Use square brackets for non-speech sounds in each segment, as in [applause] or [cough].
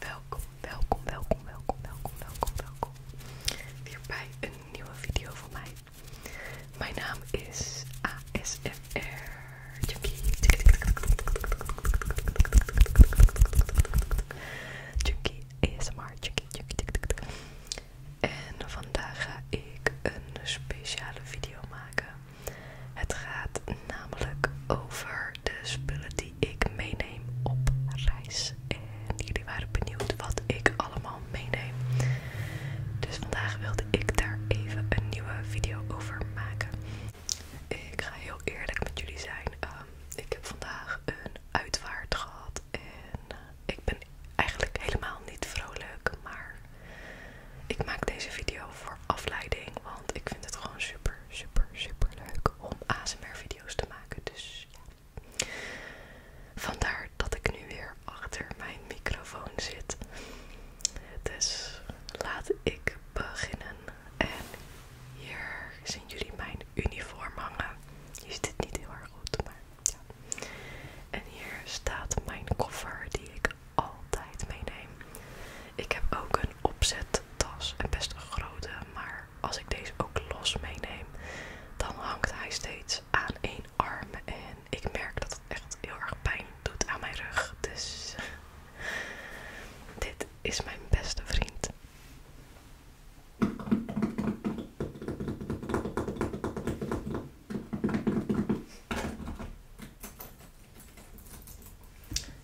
Welkom, welkom, welkom, welkom, welkom, welkom, welkom. Weer bij een nieuwe video van mij. Mijn naam is ASMR Junkie. Junkie ASMR Junkie. Junkie. En vandaag ga ik een speciale video maken. Het gaat namelijk over de spullen die ik meeneem op reis. En jullie waren benieuwd wat ik allemaal meeneem. Dus vandaag wilde ik daar even een nieuwe video over maken. Ik ga heel eerlijk met jullie zijn. Ehm, ik heb vandaag een uitvaart gehad en eh, ik ben eigenlijk helemaal niet vrolijk, maar ik maak deze video voor afleiding, want ik vind het gewoon super, super, super leuk om ASMR-video's te maken. Dus ja. Vandaar dat ik nu weer achter mijn microfoon zit. Dus laat ik beginnen. En hier zien jullie mijn uniform hangen. Je ziet het niet heel erg goed, maar en hier staat mijn koffer die ik altijd meeneem. Ik heb ook een opzettas en best een grote, maar als ik deze ook los meeneem, dan hangt hij steeds aan één arm en ik merk dat het echt heel erg pijn doet aan mijn rug. Dus [laughs] dit is mijn beste vriend.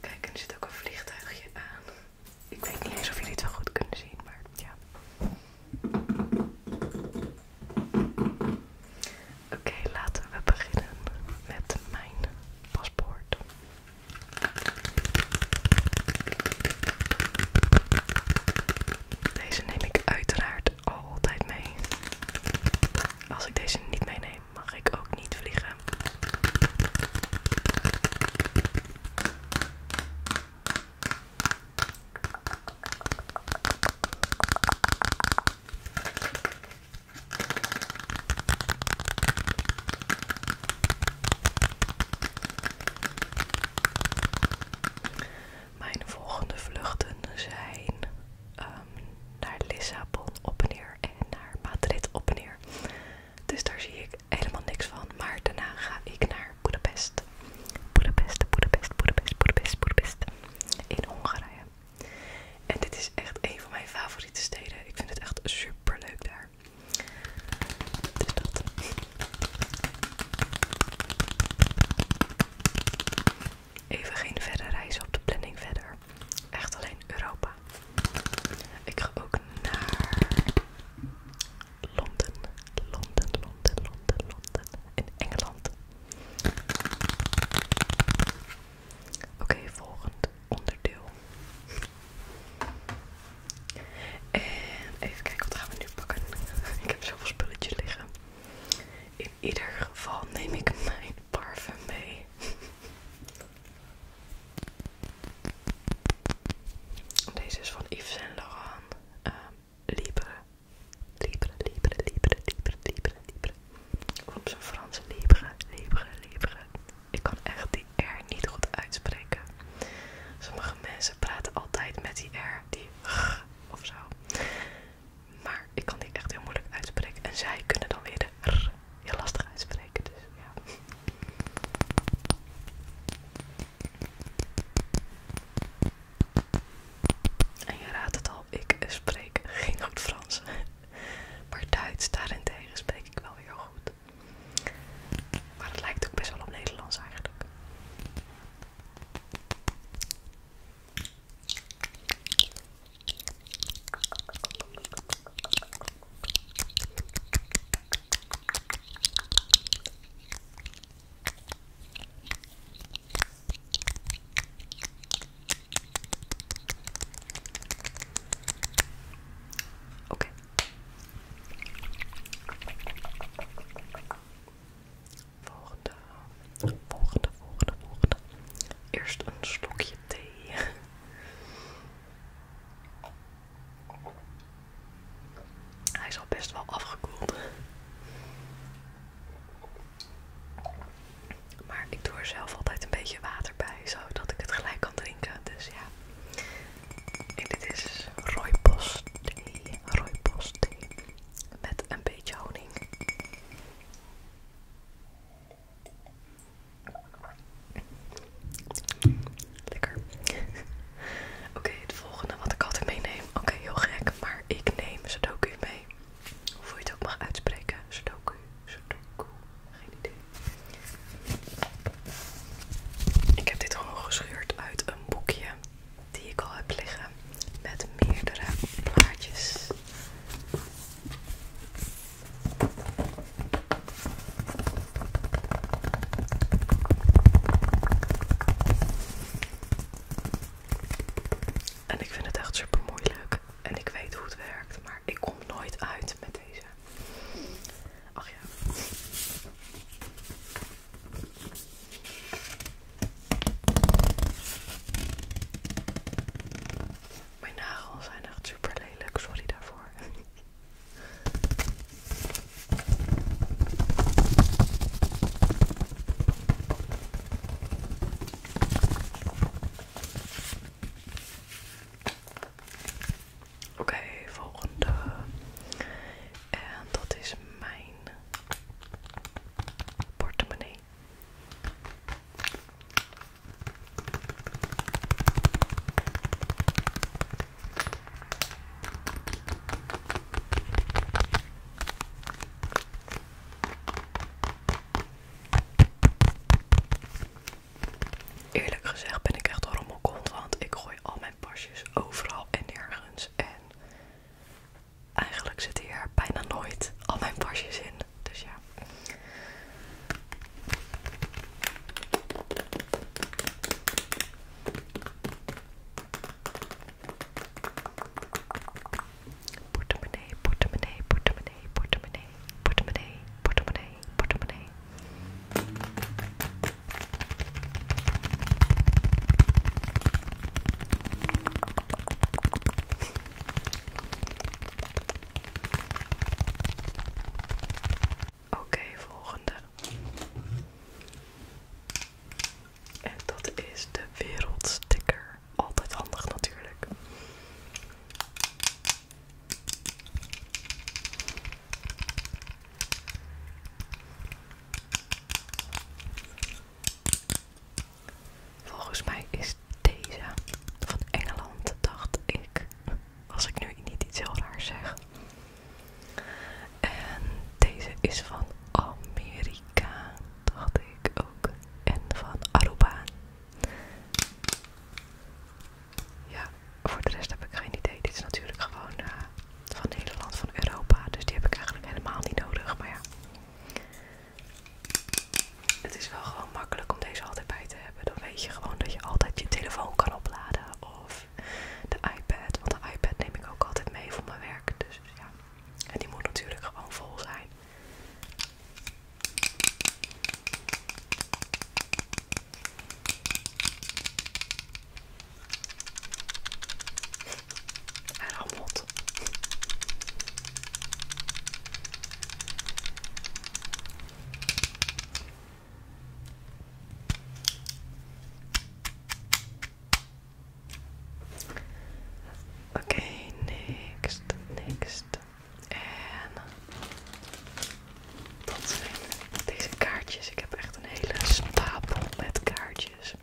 Kijk, er zit ook een vliegtuigje aan. Ik weet niet eens of jullie het wel goed kunnen zien, maar ja. Oké, laten we beginnen met mijn paspoort. Deze neem ik uiteraard altijd mee. Als ik deze niet meeneem, mag ik ook niet vliegen. Mijn volgende vluchten zijn ehm, naar Lissabon op en neer en naar Madrid op en neer. Dus daar zie ik helemaal niks van. Maar daarna ga ik naar Budapest. Budapest, Budapest, Budapest, Budapest, Budapest. In Hongarije. En dit is echt een van mijn favoriete steden. Ik vind het echt super leuk daar. Dus dat. Even geen verdere reizen op de planning verder. Echt alleen Europa. Ik ga ook naar Londen. Londen, Londen, Londen, Londen. In Engeland. Oké, volgend onderdeel. En even kijken, wat gaan we nu pakken? [laughs] ik heb zoveel spulletjes liggen. In ieder geval neem ik mijn parfum mee. [laughs] Deze is van Yves Saint Laurent. Uh, libre. Libre, libre, libre, libre, libre, libre. op zijn Frans libre, libre, libre. Ik kan echt die R niet goed uitspreken. Sommige mensen praten altijd met die R, die G of zo. Maar ik kan die echt heel moeilijk uitspreken. En zij kunnen dan weer de R heel lastig uitspreken. Dus en je raadt het al, ik spreek geen goed Frans. [laughs] Maar Duits daarentegen spreek ik wel weer goed. Maar het lijkt ook best wel op Nederlands eigenlijk. Oké, Volgende, volgende, volgende, volgende. Eerst een slokje thee. [laughs] Hij is al best wel afgekoeld. Maar ik doe er zelf altijd een beetje water bij, zodat ik het gelijk kan drinken. Dus ja, en dit is rooibos thee, thee met een beetje honing. Lekker. Oké, het volgende wat ik altijd meeneem. Oké, heel gek, maar ik neem Sudoku mee. Hoe je het ook mag uitspreken. Sudoku, Sudoku. Geen idee. Ik heb dit gewoon gescheurd uit een boekje die ik al heb liggen met meerdere plaatjes. En ik vind het echt super moeilijk en ik weet hoe het werkt, maar ik kom nooit uit met deze. Ach ja. Mijn nagels zijn echt super lelijk, sorry daarvoor. Oké, volgende. En dat is mijn portemonnee. Eerlijk gezegd ben ik echt een rommelkont, want ik gooi al mijn pasjes overal en nergens. En eigenlijk zitten hier bijna nooit al mijn pasjes in. Dus ja. Portemonnee, portemonnee, portemonnee, portemonnee, portemonnee, portemonnee, portemonnee. Oké, volgende. En dat is de wereldsticker. Altijd handig natuurlijk. Volgens mij is deze van Engeland, dacht ik. Als ik nu niet iets heel raars zeg. En deze is van Amerika, dacht ik ook. En van Aruba. Ja, voor de rest heb ik geen idee. Dit is natuurlijk gewoon het eh, van land van Europa. Dus die heb ik eigenlijk helemaal niet nodig. Maar ja, het is wel gewoon makkelijk om deze altijd bij te hebben. Dan weet je gewoon dat je altijd je telefoon kan opladen. Of de iPad. Want de iPad neem ik ook altijd mee voor mijn werk. Dus ja, en die moet natuurlijk gewoon vol zijn. Hij rammelt. Oké, next, en dat zijn deze kaartjes. Ik heb echt een hele stapel met kaartjes.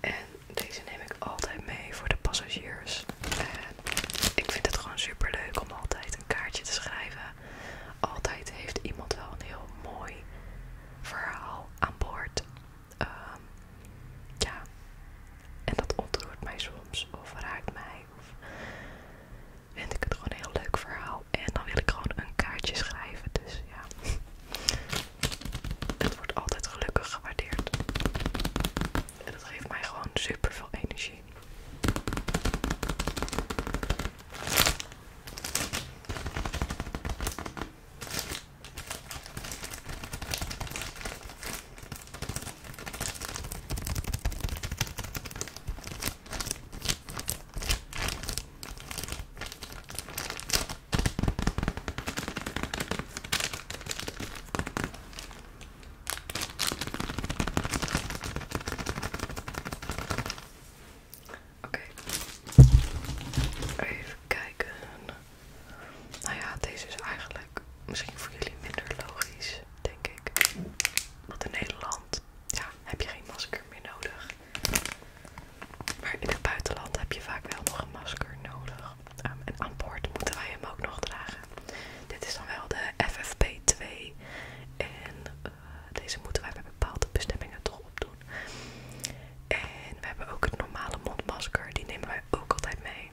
En deze neem ik altijd mee voor de passagiers. En ik vind het gewoon super leuk om altijd een kaartje te schrijven. Altijd heeft iemand wel een heel mooi verhaal aan boord. Ehm, ja, en dat ontroert mij soms of raakt mij vind ik het gewoon een heel leuk verhaal. En dan wil ik gewoon een kaartje schrijven. Dus ja, [laughs] het wordt altijd gelukkig gewaardeerd. En dat geeft mij gewoon super veel energie. Oké, even kijken. Nou ja, deze is eigenlijk misschien voor jullie minder logisch denk ik. Want in Nederland heb je geen masker meer nodig. Maar in het buitenland heb je vaak wel nog een masker nodig. en aan boord moeten wij hem ook nog dragen. Dit is dan wel de FFP2. En eh, deze moeten wij bij bepaalde bestemmingen toch opdoen. En we hebben ook het normale mondmasker. Die nemen wij ook altijd mee.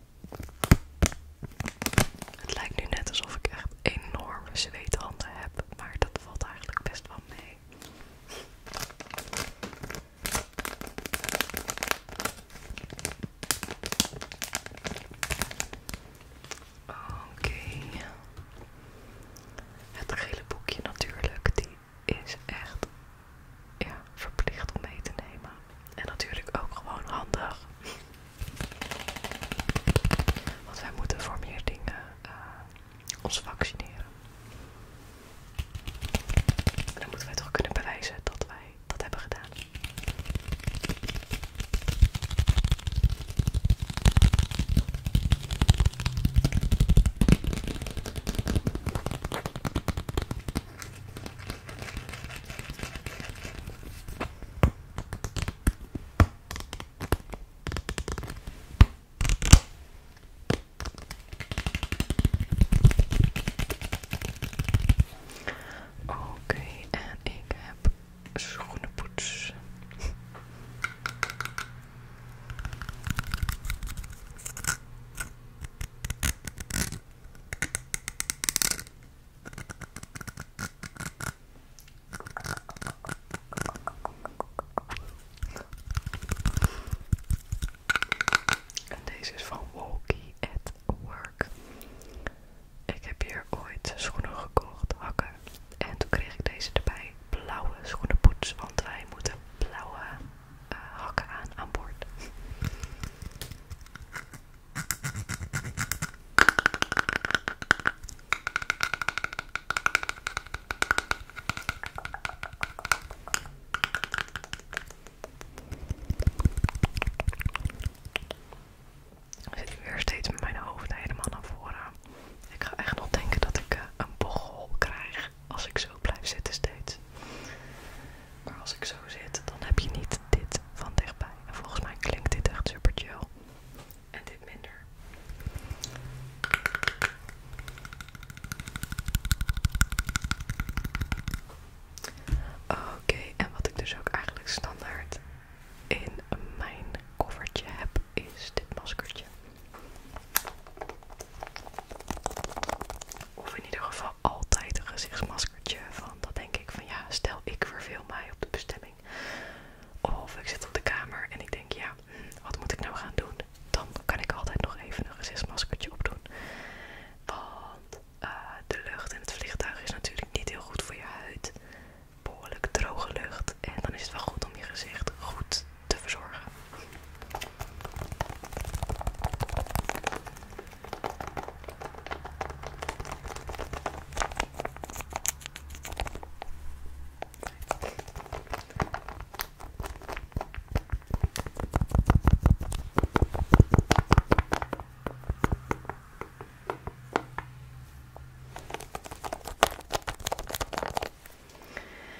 Het lijkt nu net alsof ik echt enorme zweethanden heb, maar dat valt eigenlijk best wel mee. Oké. Het gele boekje natuurlijk, die is echt ja, verplicht om mee te nemen. En natuurlijk ook gewoon handig. Want wij moeten voor meer dingen eh, ons vaccineren. En dan moeten wij toch kunnen bewijzen dat wij dat hebben gedaan. Oké, en ik heb poets. En deze is van Walkie at Work. Ik heb hier ooit schoenen gekocht, hakken. En toen kreeg ik deze erbij, blauwe schoenenpoets, want wij moeten blauwe eh, hakken aan aan boord. Ik zit weer steeds met mijn hoofd helemaal naar voren. Ik ga echt nog denken dat ik eh, een bochel krijg. Als ik zo blijf zitten steeds. Maar als ik zo zit, dan heb je niet dit van dichtbij. En volgens mij klinkt dit echt super chill. En dit minder. Oké, en wat ik dus ook eigenlijk standaard in mijn koffertje heb, is dit maskertje. Of in ieder geval altijd een gezichtsmaskertje. Van dat denk ik van ja, stel ik verveel mij op de bestemming. Of ik zit op de kamer en ik denk ja, hm, wat moet ik nou gaan doen? Dan kan ik altijd nog even een gezichtsmaskertje opdoen. Want eh, de lucht in het vliegtuig is natuurlijk niet heel goed voor je huid. Behoorlijk droge lucht. En dan is het wel goed om je gezicht goed te verzorgen.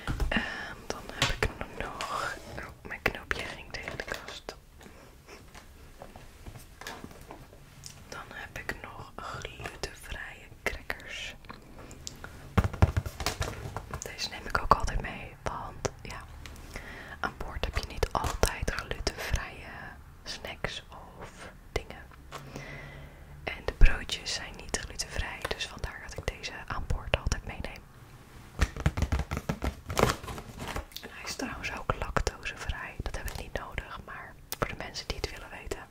En ehm, dan heb ik nog oh, mijn knoopje ging tegen de kast. Dan heb ik nog glutenvrije crackers. Deze neem ik ook altijd mee, want ja, aan boord heb je niet altijd glutenvrije snacks of dingen. En de broodjes zijn niet glutenvrij, dus vandaar dat ik deze aan boord altijd meeneem. En hij is trouwens ook lactosevrij. Dat hebben we niet nodig, maar voor de mensen die het willen weten.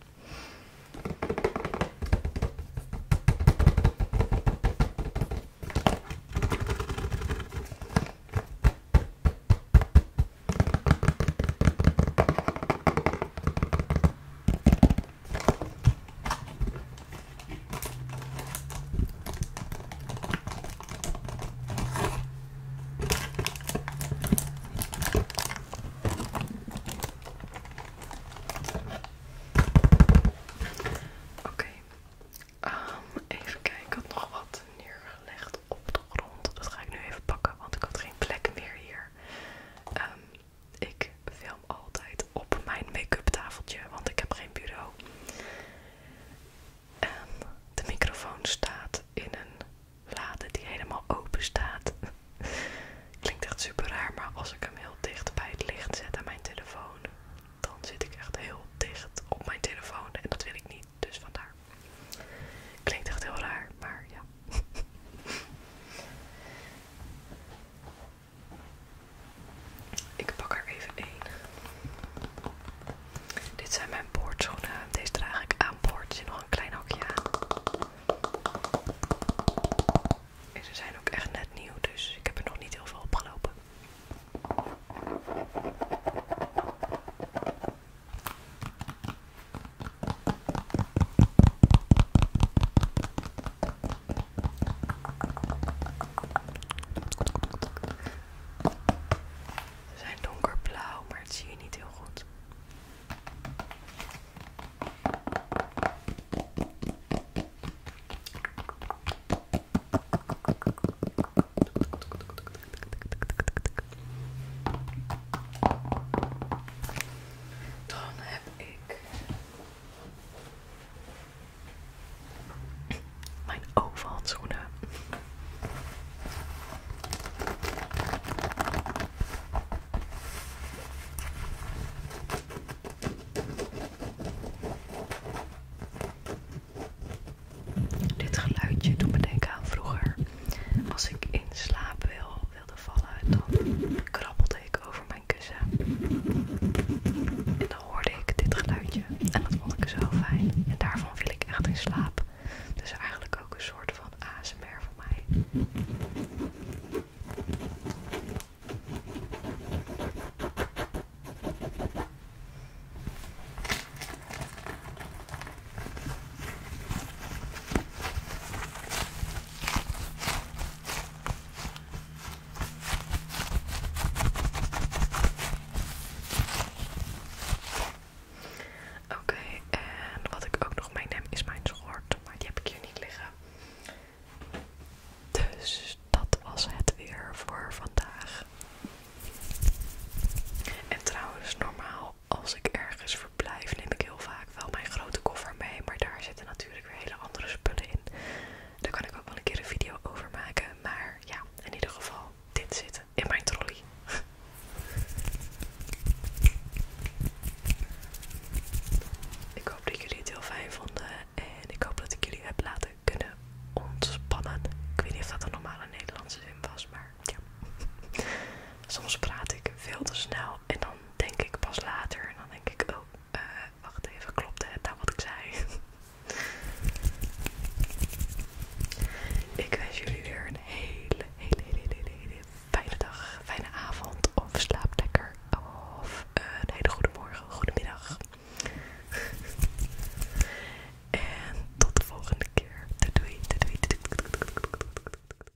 Oké, ehm, even kijken. Ik had nog wat neergelegd op de grond. Dat ga ik nu even pakken, want ik had geen plek meer hier. Ehm, ik film altijd op mijn make-up tafeltje, want ik heb geen bureau. En ehm, de microfoon staat in een lade die helemaal open staat. [laughs] Klinkt echt super raar, maar als ik hem heel dicht bij het licht zet aan mijn telefoon, dan zit ik echt heel dicht op mijn telefoon en dat wil ik niet, dus vandaar. Klinkt echt heel raar, maar ja. [laughs] Ik pak er even één. Dit zijn mijn boordschoenen. Deze draag ik aan boord. Er zit nog een klein hakje aan. En ze zijn ook echt net nieuw, dus ik heb er nog niet heel veel opgelopen. Ze zijn donkerblauw, maar het zie je niet heel goed. Dan heb ik mijn overhandschoenen. Dit geluidje doet me denken aan vroeger. Als ik in slaap wil wilde vallen, dan krabbelde ik over mijn kussen. En dan hoorde ik dit geluidje. En dat vond ik zo fijn. En daarvan viel ik echt in slaap. Dus eigenlijk ook een soort van ASMR voor mij. Oké, en wat ik ook nog meeneem is mijn schort, maar die heb ik hier niet liggen. Dus dat was het weer voor vandaag. En trouwens, normaal als ik ergens verblijf, neem ik heel vaak ik wel mijn grote koffer mee, maar daar zitten natuurlijk weer hele andere spullen in. Daar kan ik ook wel een keer een video over maken, maar ja, in ieder geval, dit zit in mijn trolley. [laughs] ik hoop dat jullie het heel fijn vonden en ik hoop dat ik jullie heb laten kunnen ontspannen. Ik weet niet of dat een normale Nederlandse zin was, maar ja. [laughs] Soms praat ik veel te snel en dan denk ik pas later, en dan denk ik, oh, eh, wacht even, klopt het nou wat ik zei? [laughs] ik wens jullie weer een hele, hele, hele, hele, fijne dag, fijne avond, of slaap lekker, of eh, een hele goede morgen, goede middag. [laughs] en tot de volgende keer. doei, doei, doei.